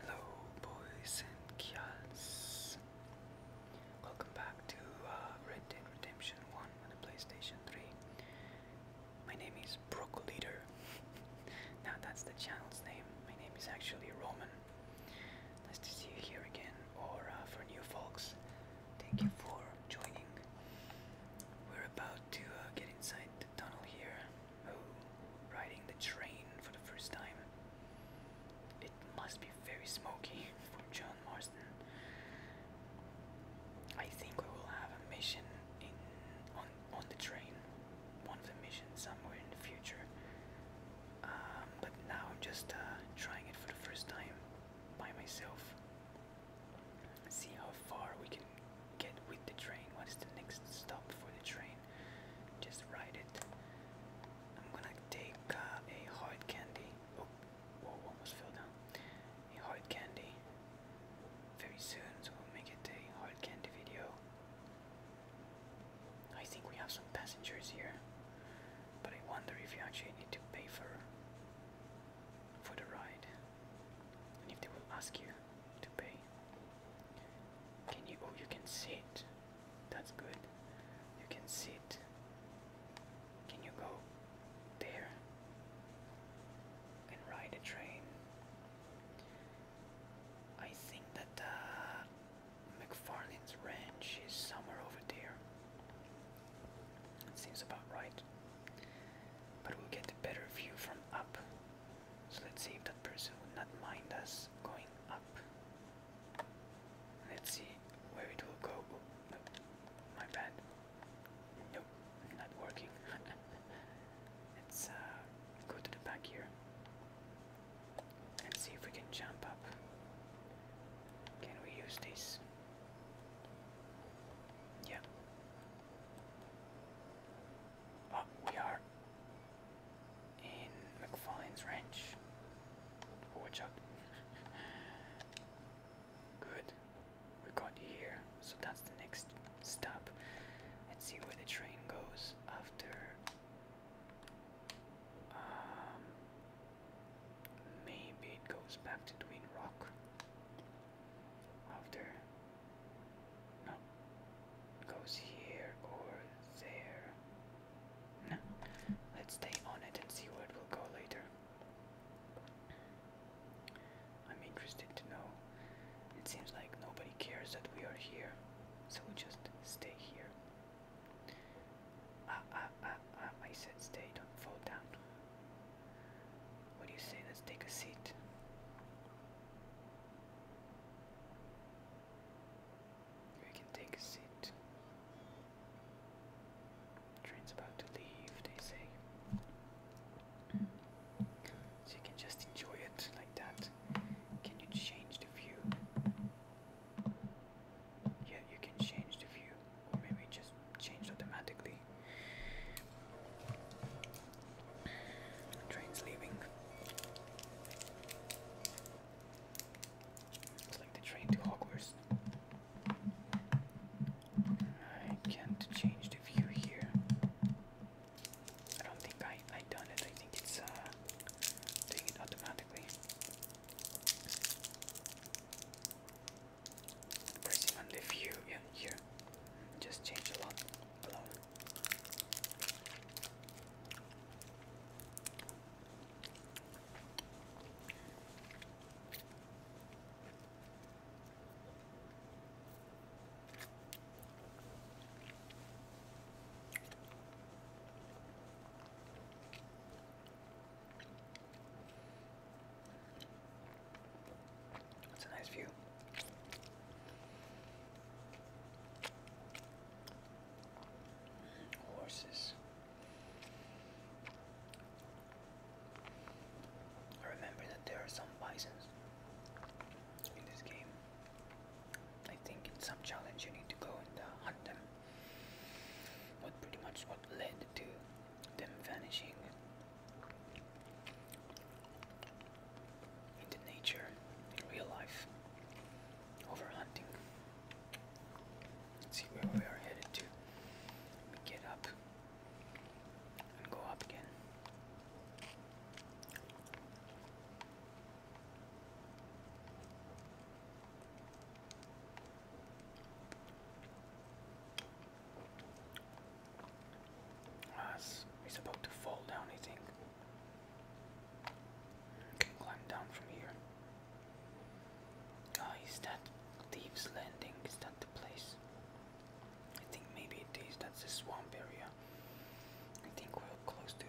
Hello, boys and girls. Welcome back to uh, Red Dead Redemption 1 on the PlayStation 3. My name is Broco Leader. now that's the channel's name. My name is actually Roman. Nice to see you here again, or uh, for new folks, thank you for joining. We're about to uh, get inside the tunnel here. Oh, riding the train for the first time. It must be very smoky for John Marsden. I think we will have a mission in on on the train. One of the missions somewhere in the future. Um, but now I'm just uh, trying it for the first time by myself. See how far we can get with the train. What is the next stop for the train? Just ride it. I'm gonna take uh, a hard candy. Oh, whoa, almost fell down. A hard candy very soon, we'll make it a hard candy video. I think we have some passengers here, but I wonder if you actually need to pay for for the ride, and if they will ask you to pay. Can you? Oh, you can sit. That's good. You can sit. Can you go there and ride a train? I think that uh, ranch is somewhere over there. It seems about right. But we'll get a better view from up. So let's see if that person would not mind us going up. Let's see where it will go. Oh, my bad. Nope, not working. let's uh, go to the back here and see if we can jump up. Can we use this? Yeah we are in McFarlane's ranch. Good. We got here. So that's the next stop. Let's see where the train goes after. Um, maybe it goes back to Twin Rock after no. Goes here or there. No. Let's stay on it and see where it will go later. I'm interested to know. It seems like nobody cares that we are here, so we just stay here. Ah, ah, ah, ah, I said stay, don't fall down. What do you say? Let's take a seat. You can take a seat. Train's about to leave, they say. So you can just enjoy it like that. Can you change the view? Yeah, you can change the view, or maybe just change automatically. Train's leaving. It's like the train to Hogwarts. I can't change the view here. I don't think I I done it. I think it's uh doing it automatically. Pressing on the view, yeah, here. Just change a lot, a it's a nice view. Horses. I remember that there are some bisons in this game. I think in some challenge you need to go and uh, hunt them. What pretty much what led to them vanishing into nature real life over hunting. see where we are headed to. get up and go up again. Ah, he's about to fall down, I think climb down from here. Ah, that Thieves Landing? Is that the place? I think maybe it is. That's the swamp area. I think we're close to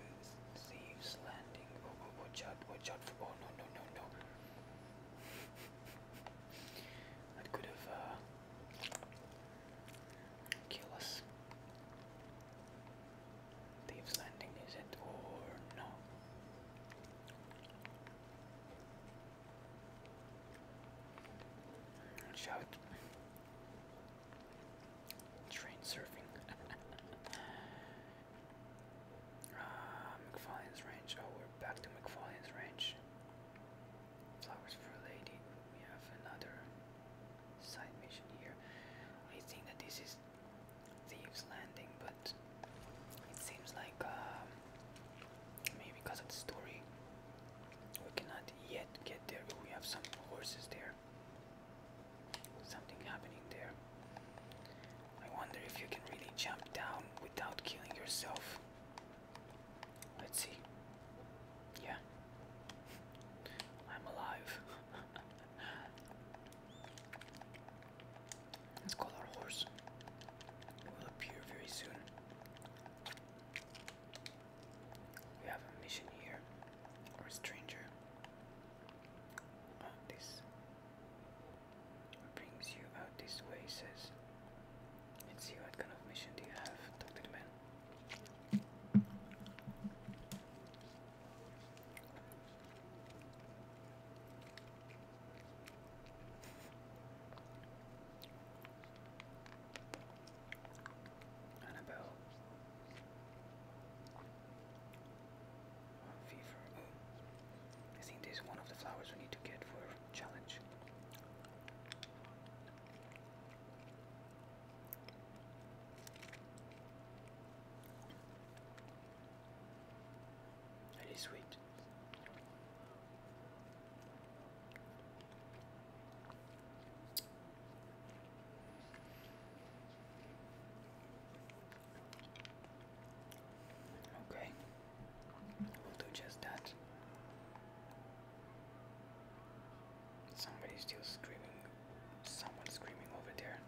Thieves Landing. Oh, oh, watch out! Watch out! oh no no no no! that could have uh, killed us. Thieves Landing is it or no? Shout Train surfing. Ah, McFarlane's Range. Oh, we're back to McFarlane's Range. Flowers for a lady. We have another side mission here. I think that this is Thieves Landing, but it seems like um, maybe because of the story, we cannot yet get there. we have some horses there. Something happening there. I wonder if you can really jump down without killing yourself. Let's see. Yeah. I'm alive. Let's call our horse. It will appear very soon. We have a mission here. Or stranger. Oh, this brings you out this way, says. Let's see what kind of mission do you have, Doctor Man. Annabelle. One I think this is one of the flowers we need to get for challenge. That is sweet. Okay, we'll do just that. Somebody's still screaming. Someone's screaming over there.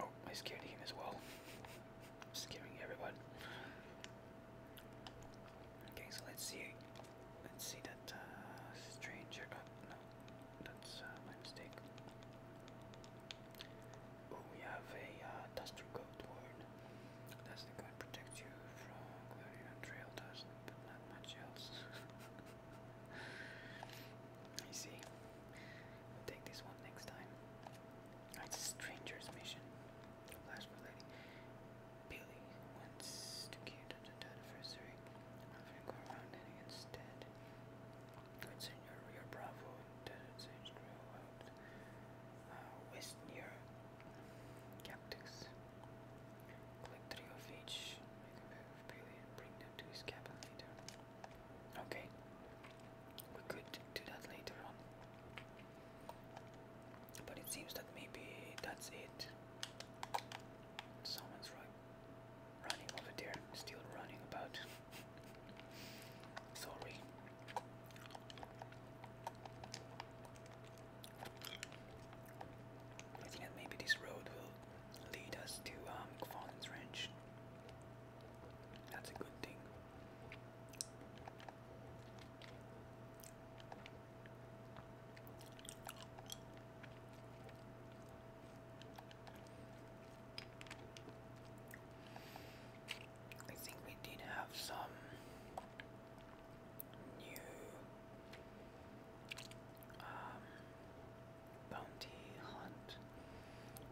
Oh, I scared him as well. I'm scaring everyone. Okay, so let's see. Let's see that uh, stranger. Oh, no, that's uh, my mistake we have a uh, duster coat ward. That's the coat protects you from glare trail dust, but not much else. I see. take this one next time. It's a stranger's mission. Last for lady. Billy wants to keep the anniversary. I'm gonna go around instead. It's in your bravo and seems grow out uh, west near Cactus. Click three bring them to his cabin later. Okay, we could do that later on. But it seems that maybe that's it. Someone's right running over there, still running about. Sorry. I think that maybe this road will lead us to um, Farn's Ranch. That's a good thing. I think we did have some new um, bounty hunt,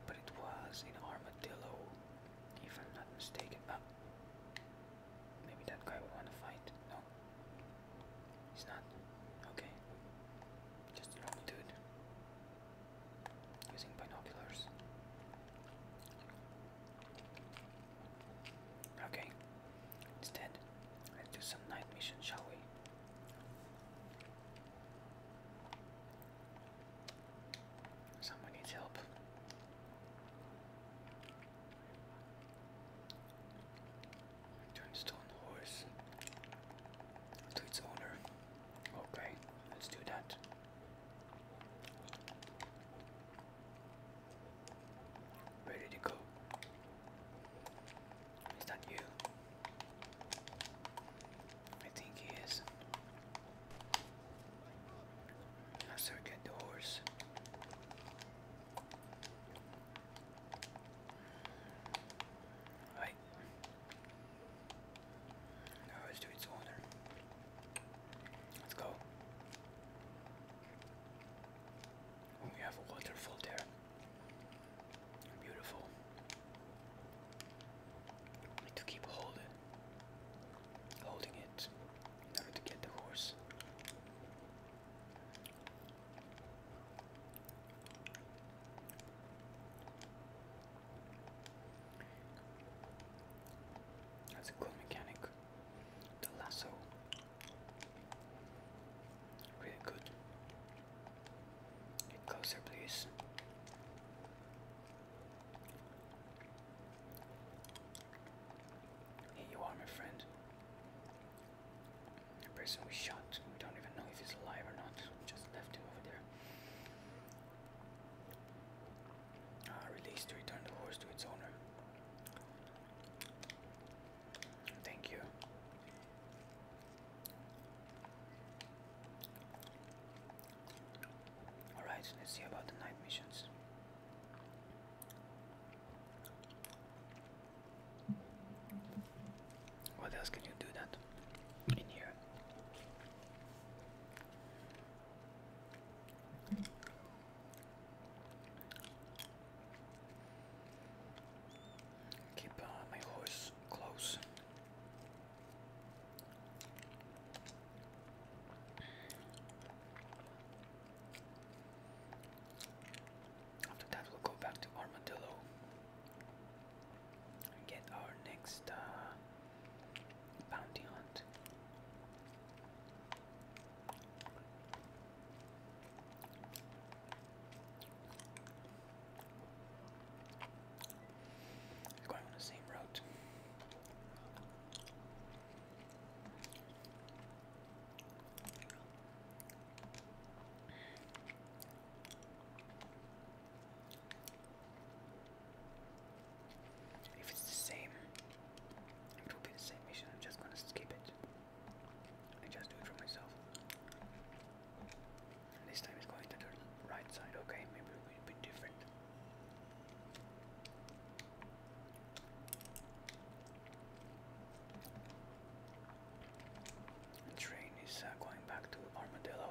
but it was in Armadillo, if I'm not mistaken. Ah, maybe that guy would want to fight. No, he's not. Okay, just a normal dude using binoculars. Okay. Instead, let's do some night mission, shall we? Someone needs help. Turnstone horse to its owner. Okay, let's do that. Where did go? Is that you? I think he is. Let's the horse. Right. Now let's do its owner. Let's go. Oh, we have a waterfall there. Beautiful. need to keep holding, holding it in to get the horse. That's a cool mechanic. The lasso. Really good. Get closer, please. Here you are, my friend. The person we shot. We don't even know if he's alive or not. We just left him over there. Ah, release to return the horse to its owner. Thank you. Alright, let's see about the night missions. What else can you do that in here? Keep uh, my horse close. After that, we'll go back to Armadillo get our next uh, Bounty hunt. going on the same road. If it's the same, it will be the same mission, I'm just gonna skip it. I just do it for myself. This time it's going to the right side, okay, maybe it will be different. train is uh, going back to Armadillo.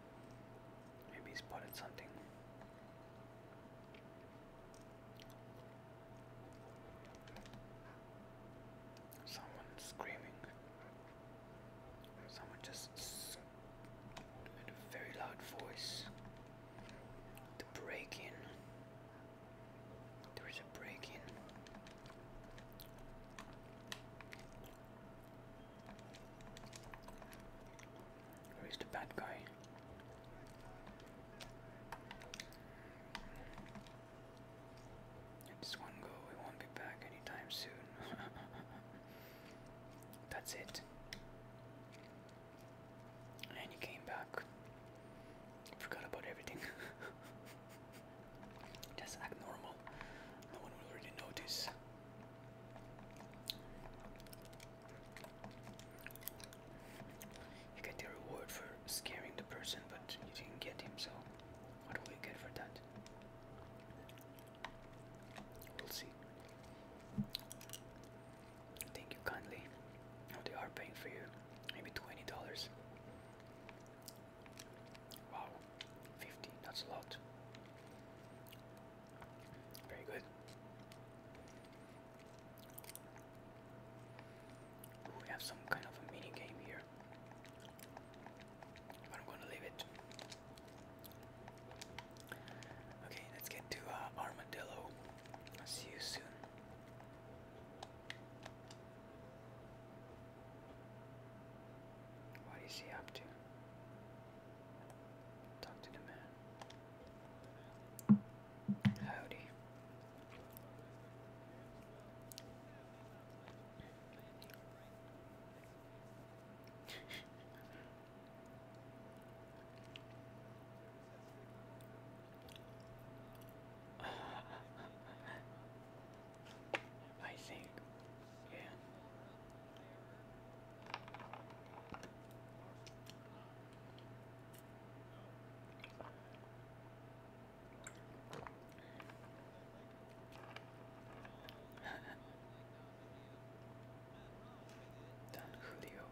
Maybe he spotted something. Someone screaming. Someone just in a very loud voice. The break in. There is a break in. Where oh, is the bad guy? It's one go, we won't be back anytime soon. That's it. And he came back. Forgot about everything. Just act normal. No one will really notice. You get the reward for scaring the person, but you didn't get him, so what do we get for that? We'll see. Thank you kindly. they are paying for you. Maybe twenty dollars. Wow, fifty, that's a lot. Very good. We have some kind of a mini game here, but I'm going to leave it. Okay, let's get to uh, Armadillo. I'll see you soon. What is he up to? Talk to the man. Howdy. I think yeah. Don Julio.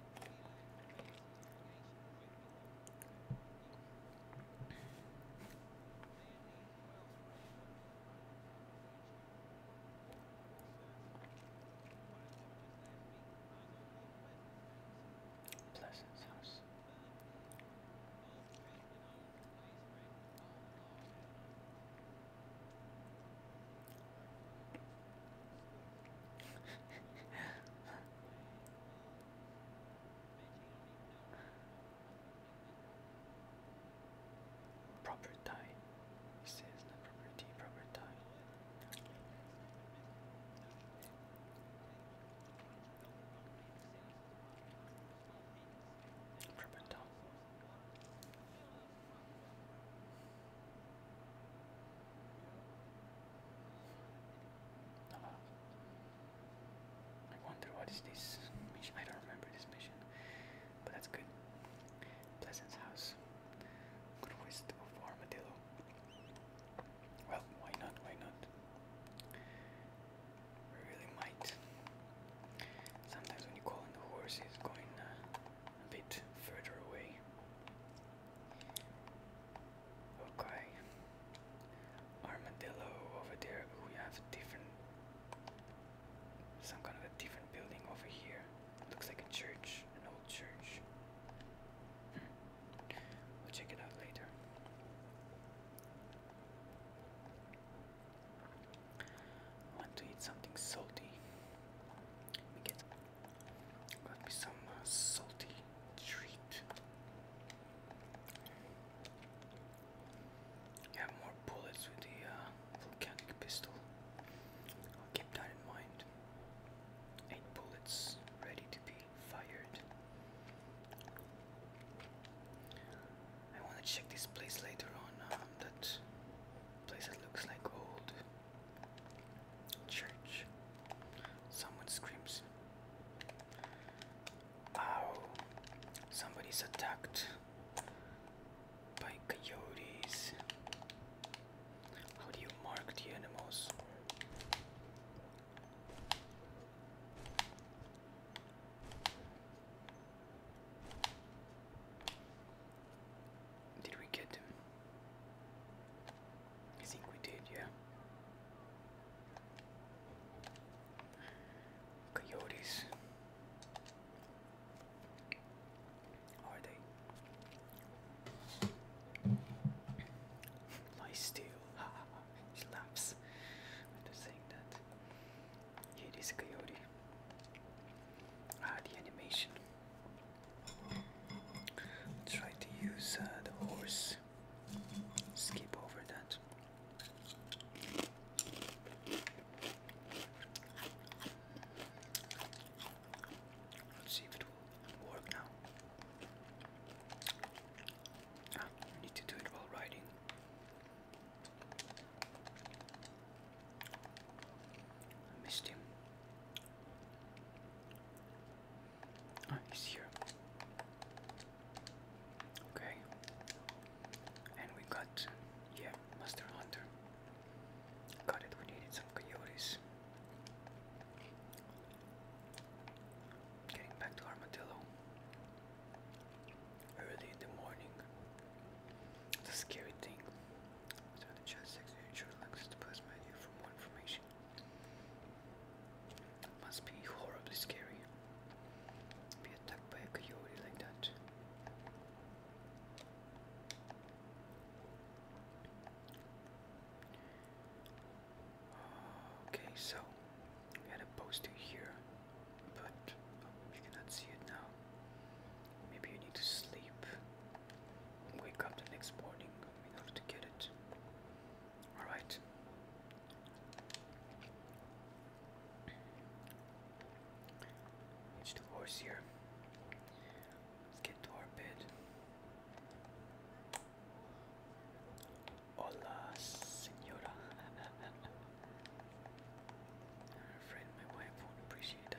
Pleasant's house. Proper tie. says proper tea, proper tie. I wonder what is this mission. I don't remember this mission but that's good. Pleasant house. Good waste of armadillo. Well, why not? Why not? really might. Sometimes when you call in the horse, it's going uh, a bit further away. Okay. Armadillo over there. We have different some kind of a different building over here. Looks like a church, an old church. Hmm. We'll check it out later. I want to eat something salty. Let me get got me some uh, salty treat. You more bullets with the uh, volcanic pistol. keep that in mind. Eight bullets ready to be fired. I want to check this place later on. Um, that place that looks like old church. Someone screams. Ow! Somebody's attacked by coyotes. How do you mark the animals? Did we get him? I think we did, yeah. Coyotes. Are they? Lie still. she laughs after saying that. Here is a coyote. Ah, the animation. I'll try to use uh, the horse. Skip over that. Let's see if it will work now. Ah, I need to do while riding. missed him. Ah, he's here. Okay. And we got, yeah, Master Hunter. Got it, we needed some coyotes. Getting back to Armadillo. Early in the morning. It's scary thing. must be horribly scary. Be attacked by a coyote like that. Okay, so we had a poster here, but you oh, cannot see it now. Maybe you need to sleep. Wake up the next morning in order to get it. Alright. It's the here. Let's get to our bed. Hola, senora. I'm afraid my wife won't appreciate that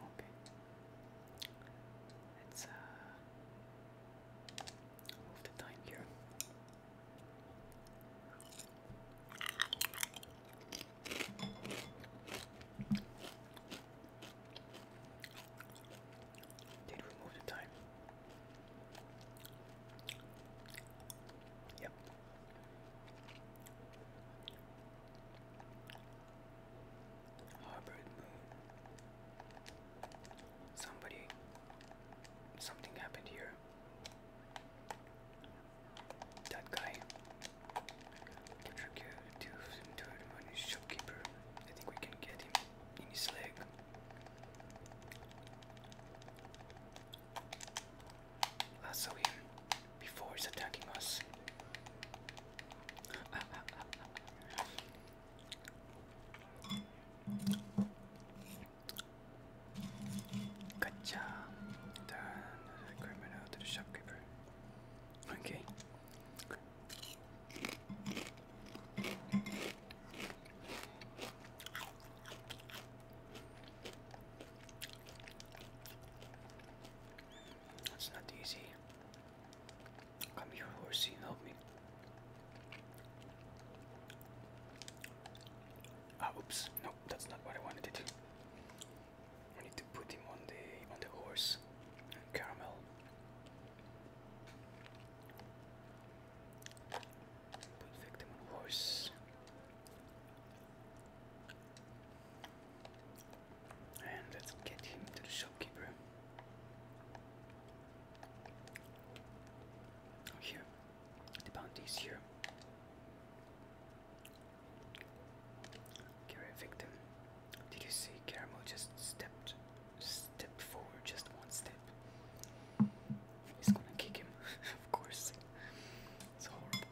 okay. let uh Move the time here. Did we move the time? Yep. Harbored Moon. Somebody. Something happened here. That guy. Contribute to think we can get him in his leg. Lasso him before he's attacking us. Good job. Turn the criminal to the shopkeeper. Okay. That's not easy. Come here, horsey, help me. Ah, oops. No, that's not what I wanted to do. I need to put him on the on the horse. caramel. Put victim on horse. And let's get him to the shopkeeper. Oh, here, the bounty is here. Carry victim. Did you see Caramel just stepped stepped forward just one step? He's gonna kick him, of course. It's horrible.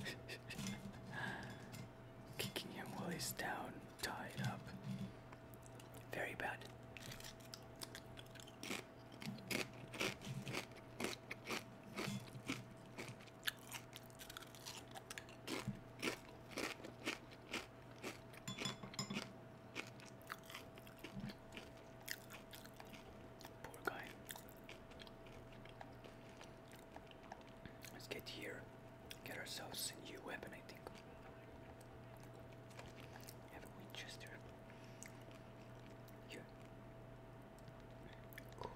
kicking him while he's down, tied up. Very bad. Poor guy. Let's get here, get ourselves a new weapon, I think. Have a Winchester. Here. Cool.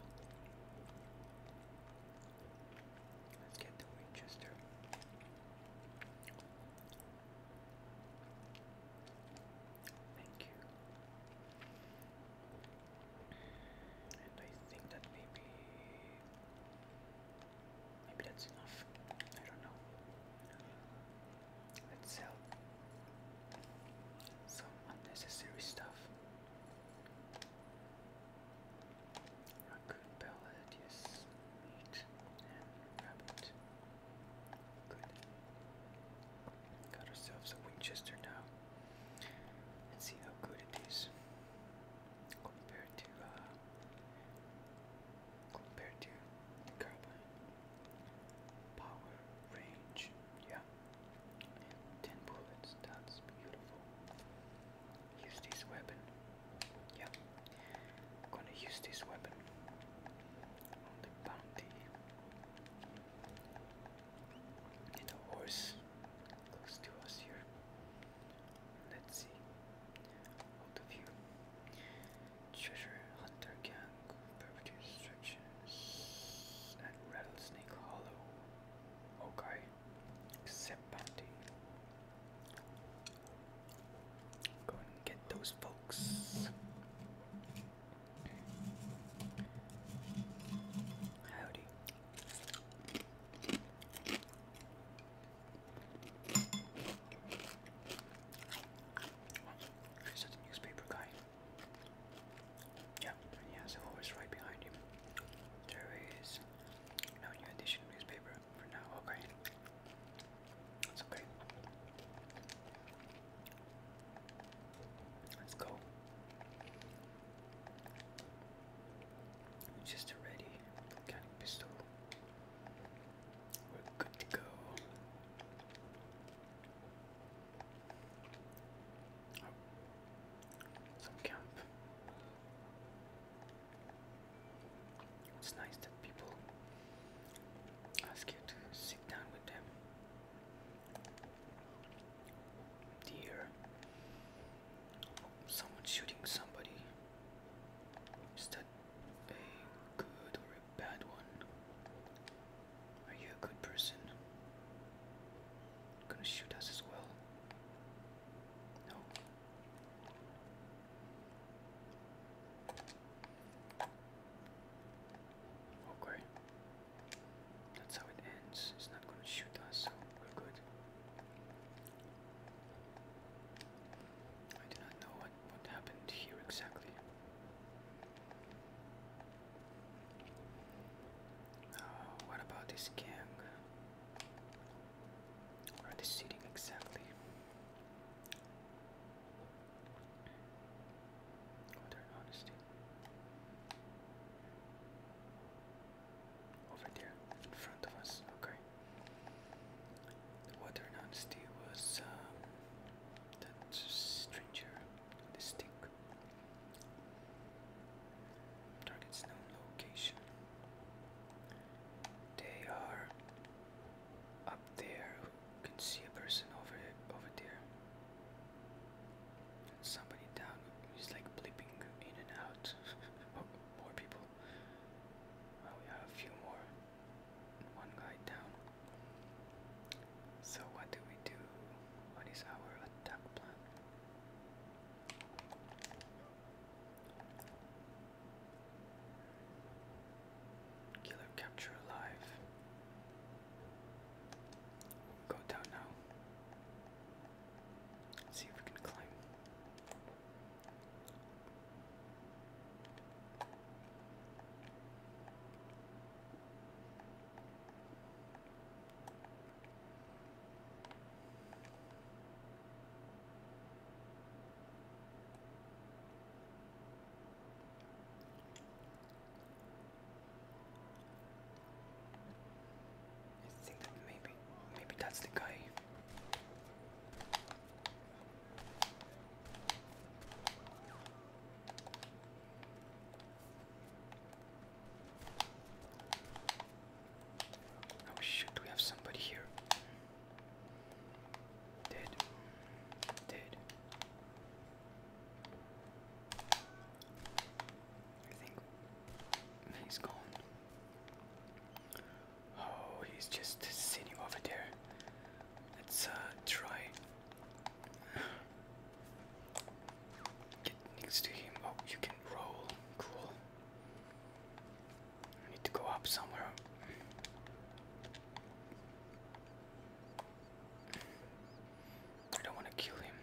Let's get the Winchester. Thank you. And I think that maybe maybe that's enough. I don't know. Let's sell some unnecessary stuff. Raccoon pellet, yes, meat and rabbit. Good. Got ourselves a Winchester now. let see how good it is compared to uh, compared to carbine power range yeah 10 bullets that's beautiful use this weapon yeah gonna use this weapon on the bounty and a horse close to us here. Let's see. Out of view. Treasure Hunter Gang, Perpetual and Rattlesnake Hollow. Okay. Accept bounty. Go and get those folks. Howdy. Is that newspaper guy? Yeah, he has a horse right behind him. There is no new edition newspaper for now, okay. That's okay. Let's go. Just ready kind pistol. We're good to go. Oh. Some camp. It's nice that people ask you to sit down with them. Deer Someone shooting somebody. Is that a good or a bad one? Are you a good person? Gonna shoot us as well? No. Okay. That's how it ends. It's not gonna shoot us, we're good. I do not know what, what happened here exactly. Uh, what about this gang? Where are sitting exactly? Oh, they honesty. Over there, in front of us, okay. The water honesty was um, that stranger, the stick. Target's known location. They are up there. You can see a person over over there somebody down He's like bleeping in and out. more people. we have a few more. One guy down. So what do we do? What is our attack plan? Killer capture alive. Go down now. Let's see if we can climb. I think that maybe, maybe that's the guy. Oh shoot, we have somebody here. Dead. Dead. I think he's gone. Oh, he's just sitting over there. Let's uh, try get next to him. Oh, you can roll. Cool. I need to go up somewhere. I don't want to kill him.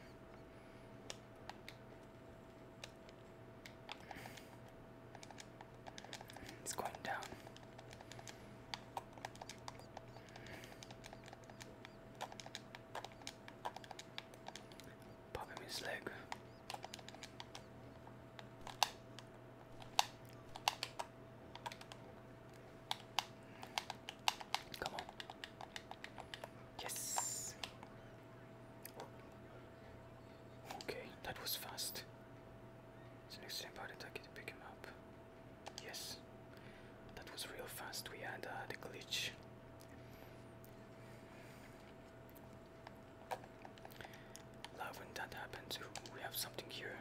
It's going down. Pop his leg. Come on. Yes. Okay, that was fast. It's an extreme power to pick him up. Yes. That was real fast. We had uh, the glitch. Love when that happens. we have something here.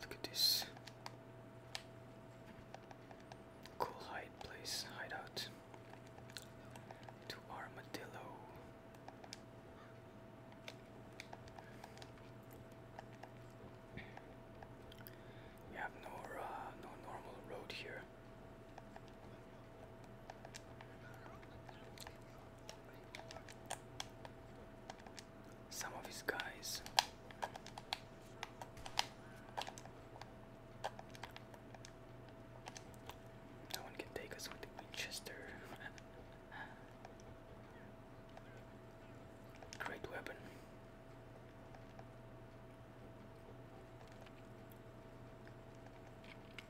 Look at this cool hide place, hideout to Armadillo. We have no uh, no normal road here some of his guys. No one can take us with the Winchester. Great weapon.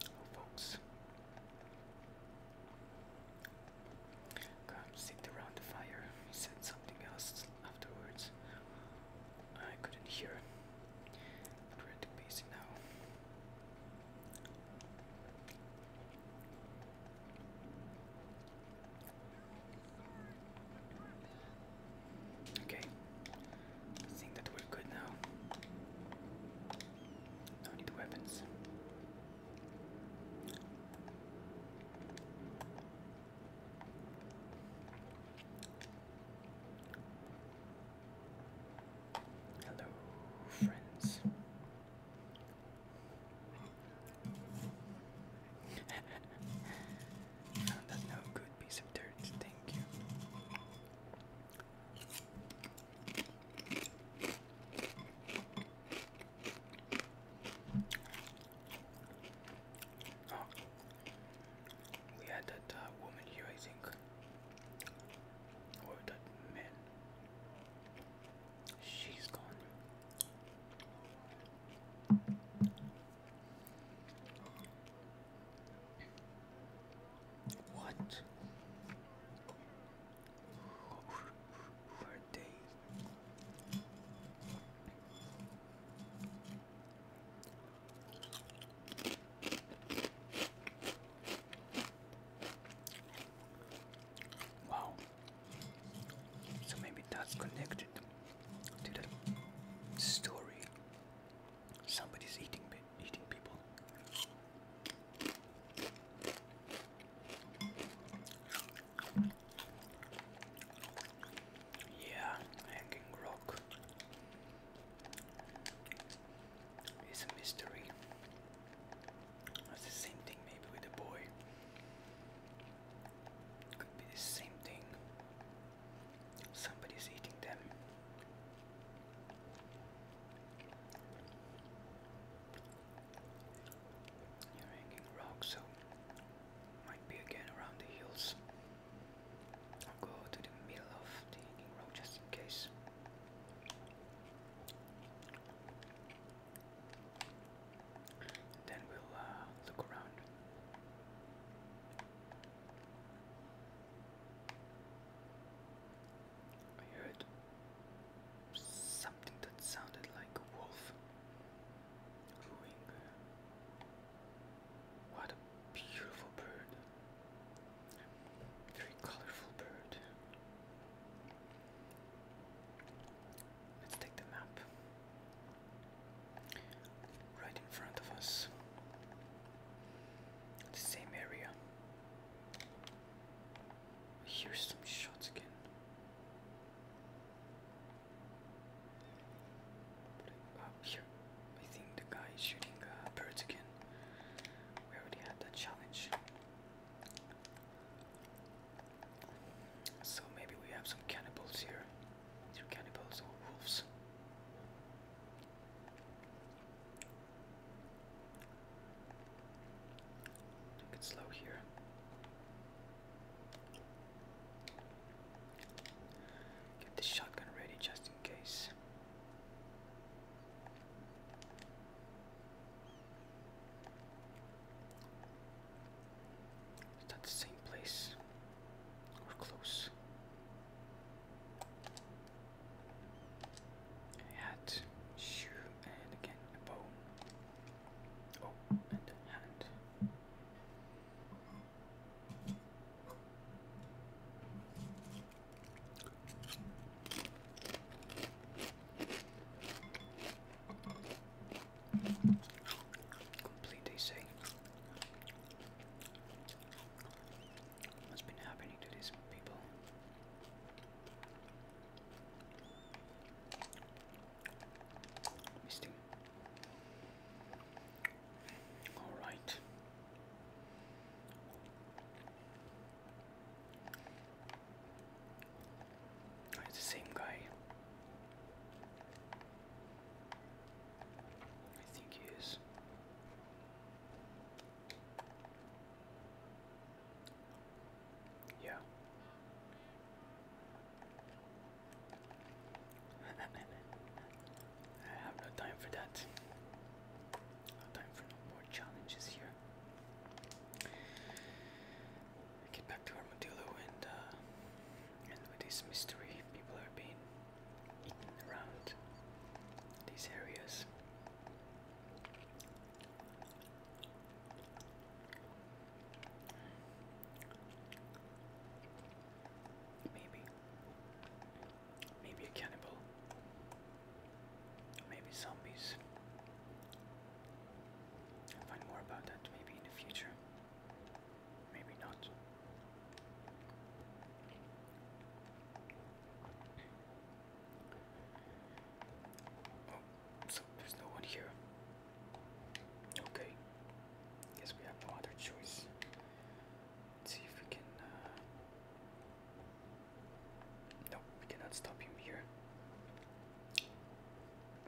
Oh, folks. Come sit around the fire. He said something else afterwards. I couldn't hear. But busy now. Okay, think that we're good now. No need weapons. Hello, friends. Found that good piece of dirt, thank you. Oh. We had that uh, woman here, I think. Or that man. She's gone. What? Who are they? Wow. So maybe that's connected to the story. Somebody's eating eating people. Yeah, hanging rock is a mystery. That's the same thing maybe with the boy. Could be the same thing. Somebody's eating them. You're hanging rock, so might be again around the hills. I'll go to the middle of the hanging road just in case. Then we'll uh, look around. I heard something that sounded like a wolf. Cooing. What a beautiful bird. Very colorful bird. Let's take the map. Right in front of us. The same area. Here's some shots again up here. I think the guy is shooting uh, birds again. We already had that challenge. So maybe we have some cannibals here. cannibals or wolves. Take it slow here. Get the shotgun ready just in case. Is that the same place? Or close? hat, shoe, and again a bone. Oh, and a hand. Completely safe. What's been happening to these people? Misting. All right. it's the same guy. I think he is. Yeah. I have no time for that. No time for no more challenges here. Get back to Armadillo and and uh, with this mystery, people are being eaten around these areas. Maybe. Maybe a cannibal. Maybe zombies. find more about that maybe in the future. Maybe not. Oh, so there's no one here. Okay. Guess we have no other choice. Let's see if we can. Uh, no, we cannot stop him here.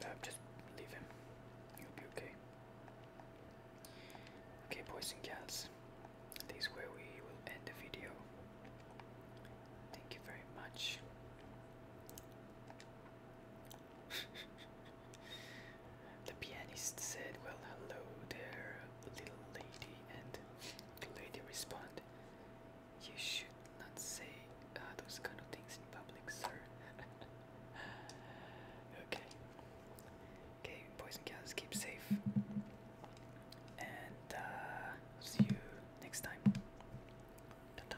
Uh, just leave him. He'll be okay. Okay, boys and girls, this is where we will end the video. Thank you very much. the pianist said, Well, hello there, little lady, and the lady responded, You should not say uh, those kind of things in public, sir. okay. Okay, boys and girls, keep safe. And uh, see you next time. Ta